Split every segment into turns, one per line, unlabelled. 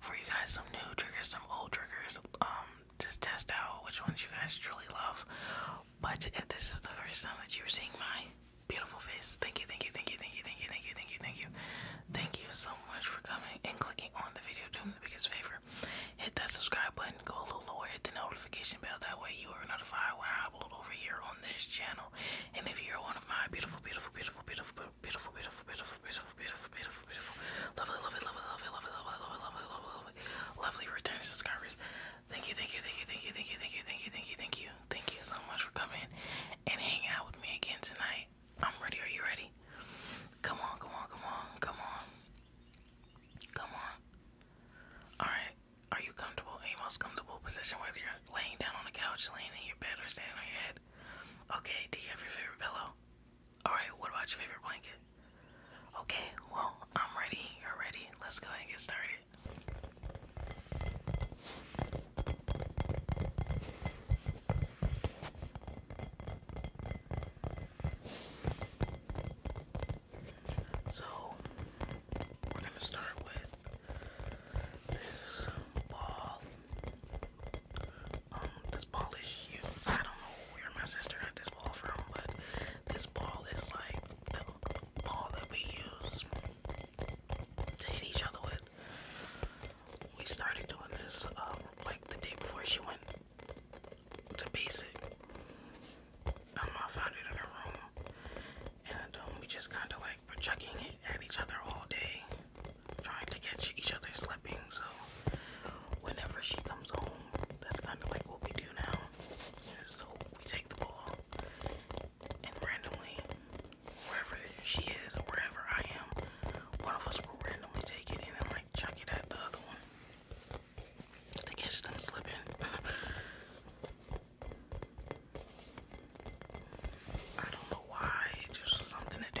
for you guys some new triggers, some old triggers. Um, just test out which ones you guys truly love. But if this is the first time that you're seeing my beautiful face, thank you, thank you, thank you, thank you, thank you, thank you, thank you, thank you, thank you so much for coming and clicking on the video. Do me the biggest favor, hit that subscribe button, go a little lower, hit the notification bell. That way you are notified when I upload over here on this channel. And if you're one of my beautiful, beautiful, beautiful, beautiful, beautiful, beautiful, beautiful, beautiful beautiful, beautiful, beautiful, beautiful. Lovely, lovely, lovely, lovely, lovely, lovely, lovely, lovely, lovely, lovely. Lovely returning subscribers. Thank you, thank you, thank you, thank you, thank you, thank you, thank you, thank you, thank you. Thank you so much for coming and hanging out with me again tonight. I'm ready. Are you ready? Come on, come on, come on, come on. Come on. Alright. Are you comfortable in your most comfortable position whether you're laying down on the couch, laying in your bed, or standing on your head? Okay, do you have your favorite pillow? Alright, what about your favorite blanket? Okay, well, I'm ready. You're ready. Let's go and get started. So, we're going to start with this ball um, this ball is used. I don't know where my sister got this ball from, but this ball is like the ball that we use to hit each other with. We started doing this um, like the day before she went to basic. Um, I found it in her room, and um, we just kind of like were chucking it at each other all day trying to catch each other slipping. So whenever she comes home, that's kind of like what we do now. So we take the ball and randomly, wherever she is or wherever I am, one of us will randomly take it and like chuck it at the other one to catch them slipping. I don't know why, just something to do.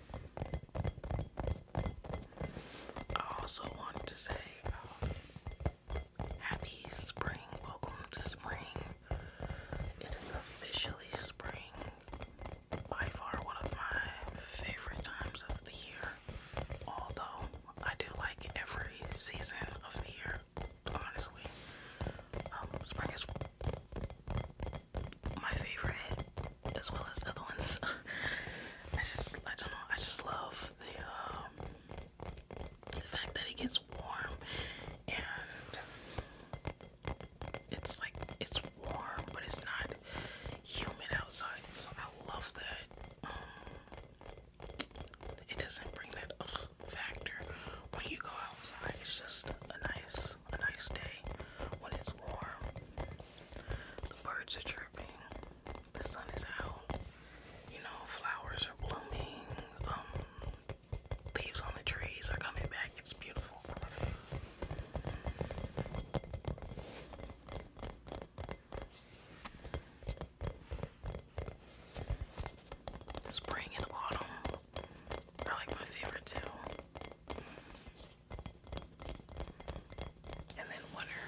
I also want to say um, happy spring. Welcome to spring. It is officially spring. By far one of my favorite times of the year. Although I do like every season of the year, honestly. Um, spring is my favorite as well as the other ones. I just I don't know, I just love the um, the fact that it gets warm and it's like it's warm but it's not humid outside. So I love that. Um, it doesn't bring that factor when you go outside. It's just a nice a nice day when it's warm. The birds are chirping, the sun is out, you know, flowers are blooming, um, leaves on the trees are coming back, it's beautiful. Spring and autumn are like my favorite too and then winter,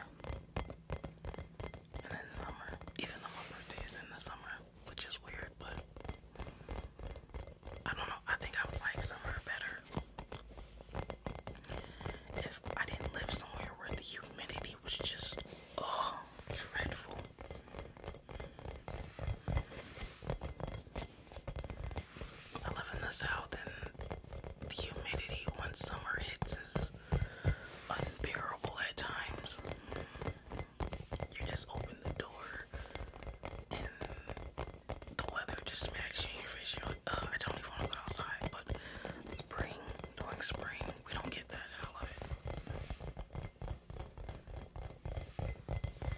and then summer. Even though my birthday is in the summer, which is weird, but I don't know. I think I would like summer better if I didn't live somewhere where the humidity was just oh dreadful. I live in the south, and the humidity once summer hits is unbearable at times. You just open the door, and the weather just smacks you in your face. You're like, I don't even want to go outside. But spring, during spring, we don't get that, and I love it.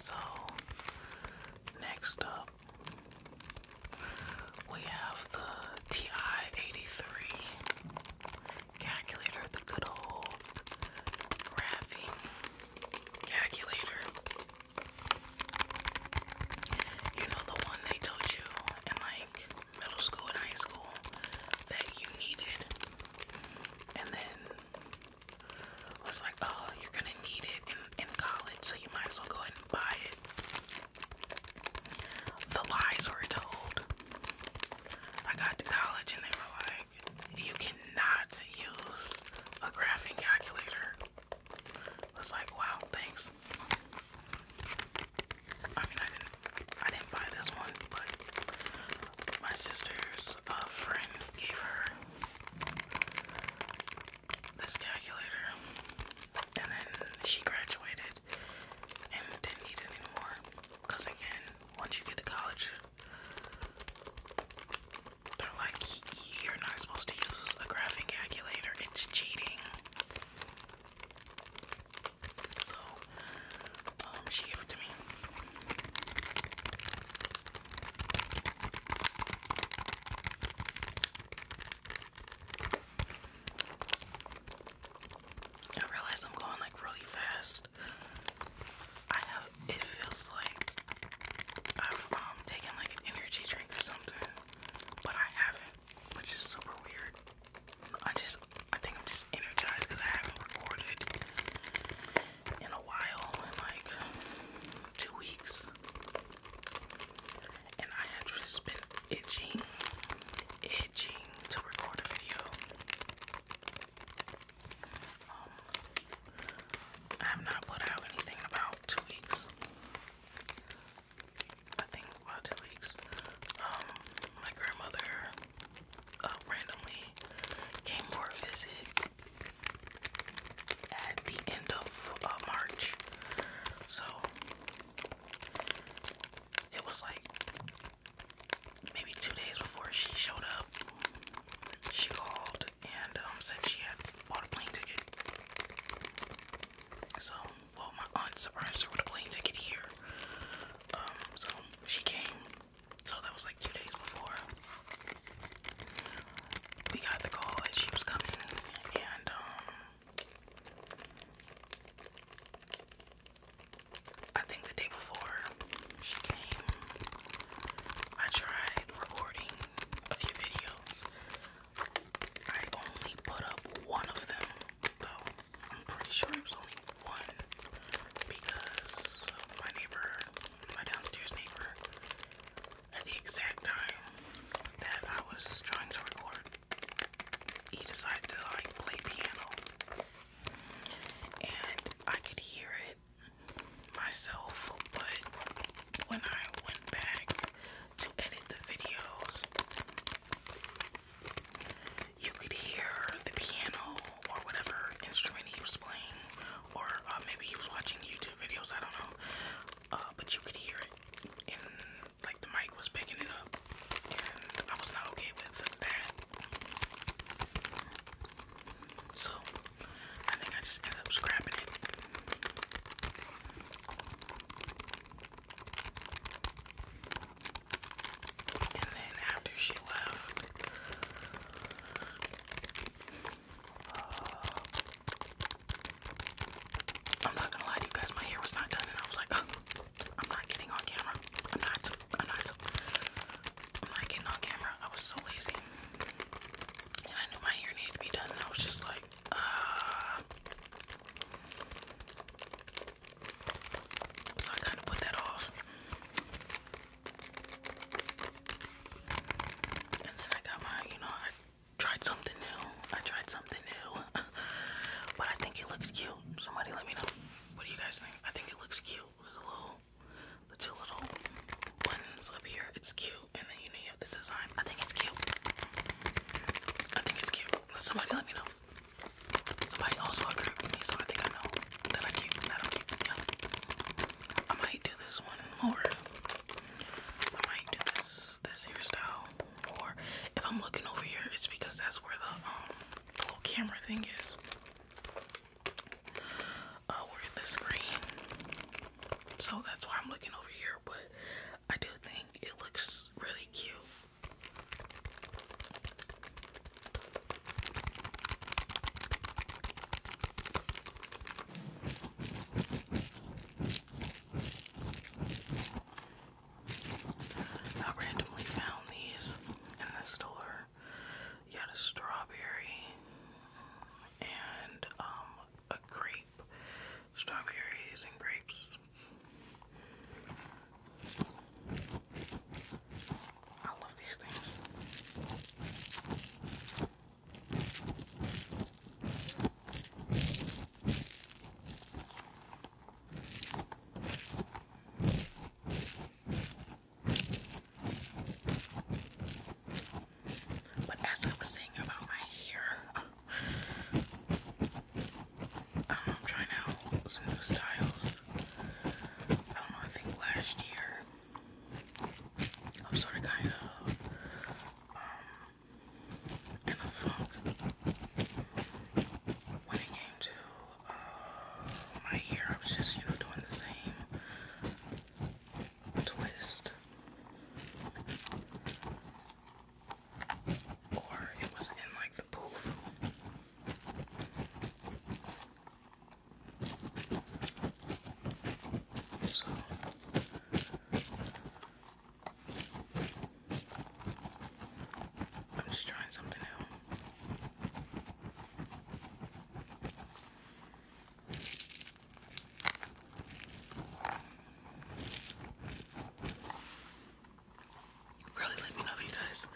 So, next up, we have the TI-83 calculator, the good old graphing calculator. You know the one they told you in like middle school and high school that you needed, and then was like, oh, you're gonna need it in, college, so you might as well go ahead and buy it the lies were told. I got to college and they were like, you cannot use a graphing calculator. I was like, wow, thanks. I mean, I didn't, I didn't buy this one, but my sister's uh, friend gave her this calculator and then she graduated and didn't need anymore. Cause again, once you get to college, they're like, you're not supposed to use a graphing calculator. It's cheating. So, um, she gave it to me. I realize I'm going like really fast. I have it feels like I've um taken like an energy drink or something, but I haven't, which is super weird. I just I think I'm just energized because I haven't recorded in a while in like two weeks and I have just been itching, itching to record a video. Um, I have not put out anything in about two weeks. I think about two weeks. Um, my grandmother uh, randomly came for a visit at the end of uh, March. So it was like maybe two days before she showed up. She called and um, said she had bought a plane ticket. So, well, my aunt surprised her with a plane ticket here. Um, so she came. So that was like two days before we got the call that she was coming, and um, I think the day before she came, I tried recording a few videos. I only put up one of them, though. I'm pretty sure it was only one because my neighbor, my downstairs neighbor, at the exact time that I was trying to record, he decided to like play piano and I could hear it myself but when I went back to edit the videos you could hear the piano or whatever instrument he was playing or uh, maybe he was watching YouTube videos I don't know uh, but you could hear it in like the mic was picking it up, and I was not okay with that. So I think I just ended up scrapping it. And then after she left, uh, I'm not gonna lie you guys, my hair was not done, and I was like, I'm not getting on camera. I'm not. I'm not. I'm not getting on camera. I was so lazy. And I knew my hair needed to be done. I was just like, uh. So I kind of put that off. And then I got my, you know, I tried something new. I tried something new. but I think it looks cute. Somebody let me know. What do you guys think? I think it looks cute. With the two little buttons up here. It's cute, and then you know you have the design. I think it's cute. I think it's cute. Somebody let me know. Somebody also agreed so I think I know that I keep I might do this one more. I might do this this hairstyle or if I'm looking over here, it's because that's where the um little camera thing is. Uh, we're at the screen, so that's why I'm looking over here. But I do think it looks really cute. I randomly found these in the store. You had a strawberry and um, a grape. Strawberries and grapes. I love these things. But as I was saying about my hair, um, I'm trying out some new styles. I don't know, I think last year I was sort of kind of um, in the fog. When it came to uh, my hair, I was just, you know, doing the same twist. Or it was in like the poof. So I'm just trying something new. Really let me know if you guys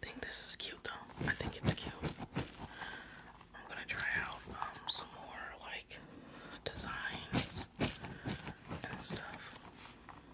think this is cute though. I think it's cute. I'm gonna try out um, some more like designs and stuff.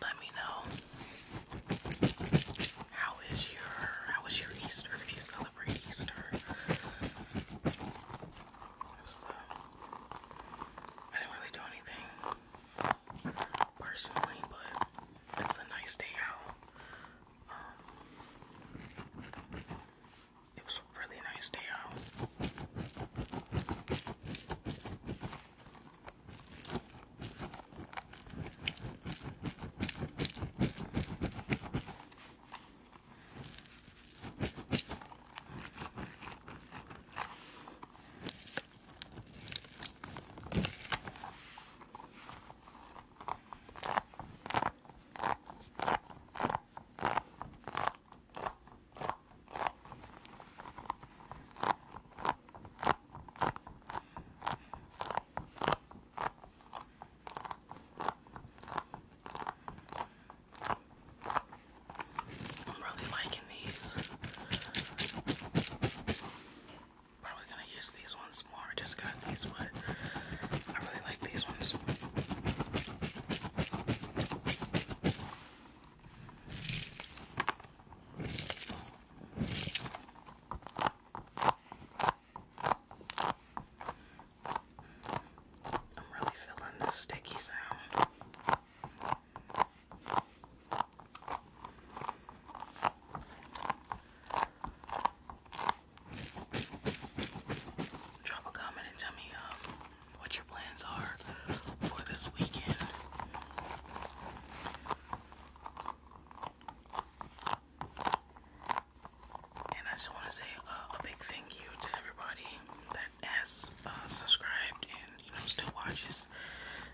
Let me know how is your how was your Easter if you celebrate Easter. I didn't really do anything personally, but it's a nice day out. Um, it was a really nice day out. I'm really liking these. Probably gonna use these ones more. I just got these, but I really like these ones. I'm really feeling this sticky sound. Drop a comment and tell me um, what your plans are for this weekend. And I just want to say uh, a big thank you to everybody that has uh, subscribed and you know still watches.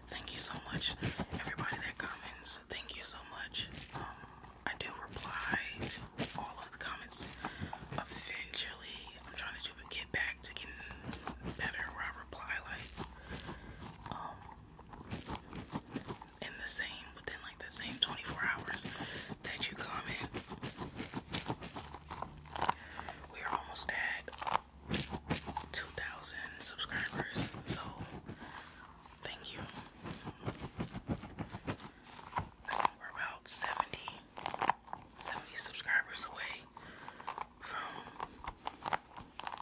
Thank you so much, everybody that comments. Thank you so much. Um, I do reply to all of the comments eventually. I'm trying to do but get back to getting better where I reply like um, in the same within like the same 24 hours that you comment. We're almost at 2,000 subscribers, so thank you. we're about 70 70 subscribers away from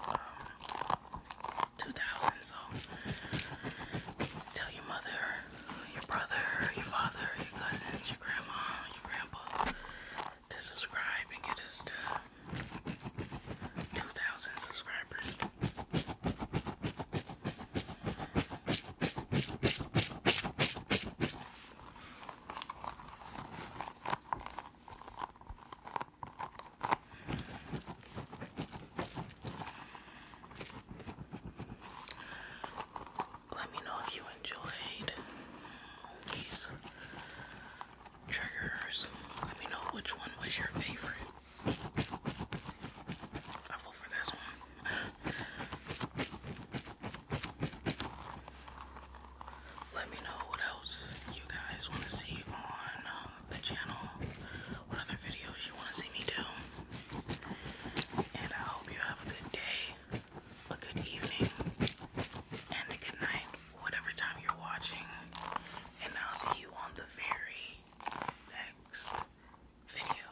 um, 2,000. So tell your mother, your brother, your father, your cousins, your grandma, your grandpa to subscribe and get us to 2,000 subscribers. Let me know if you enjoyed these triggers. Let me know which one was your favorite. I vote for this one. Let me know what else you guys want to see on um, the channel, what other videos you want to see me do. And I hope you have a good day, a good evening, and a good night, whatever time you're watching. And I'll see you on the very next video.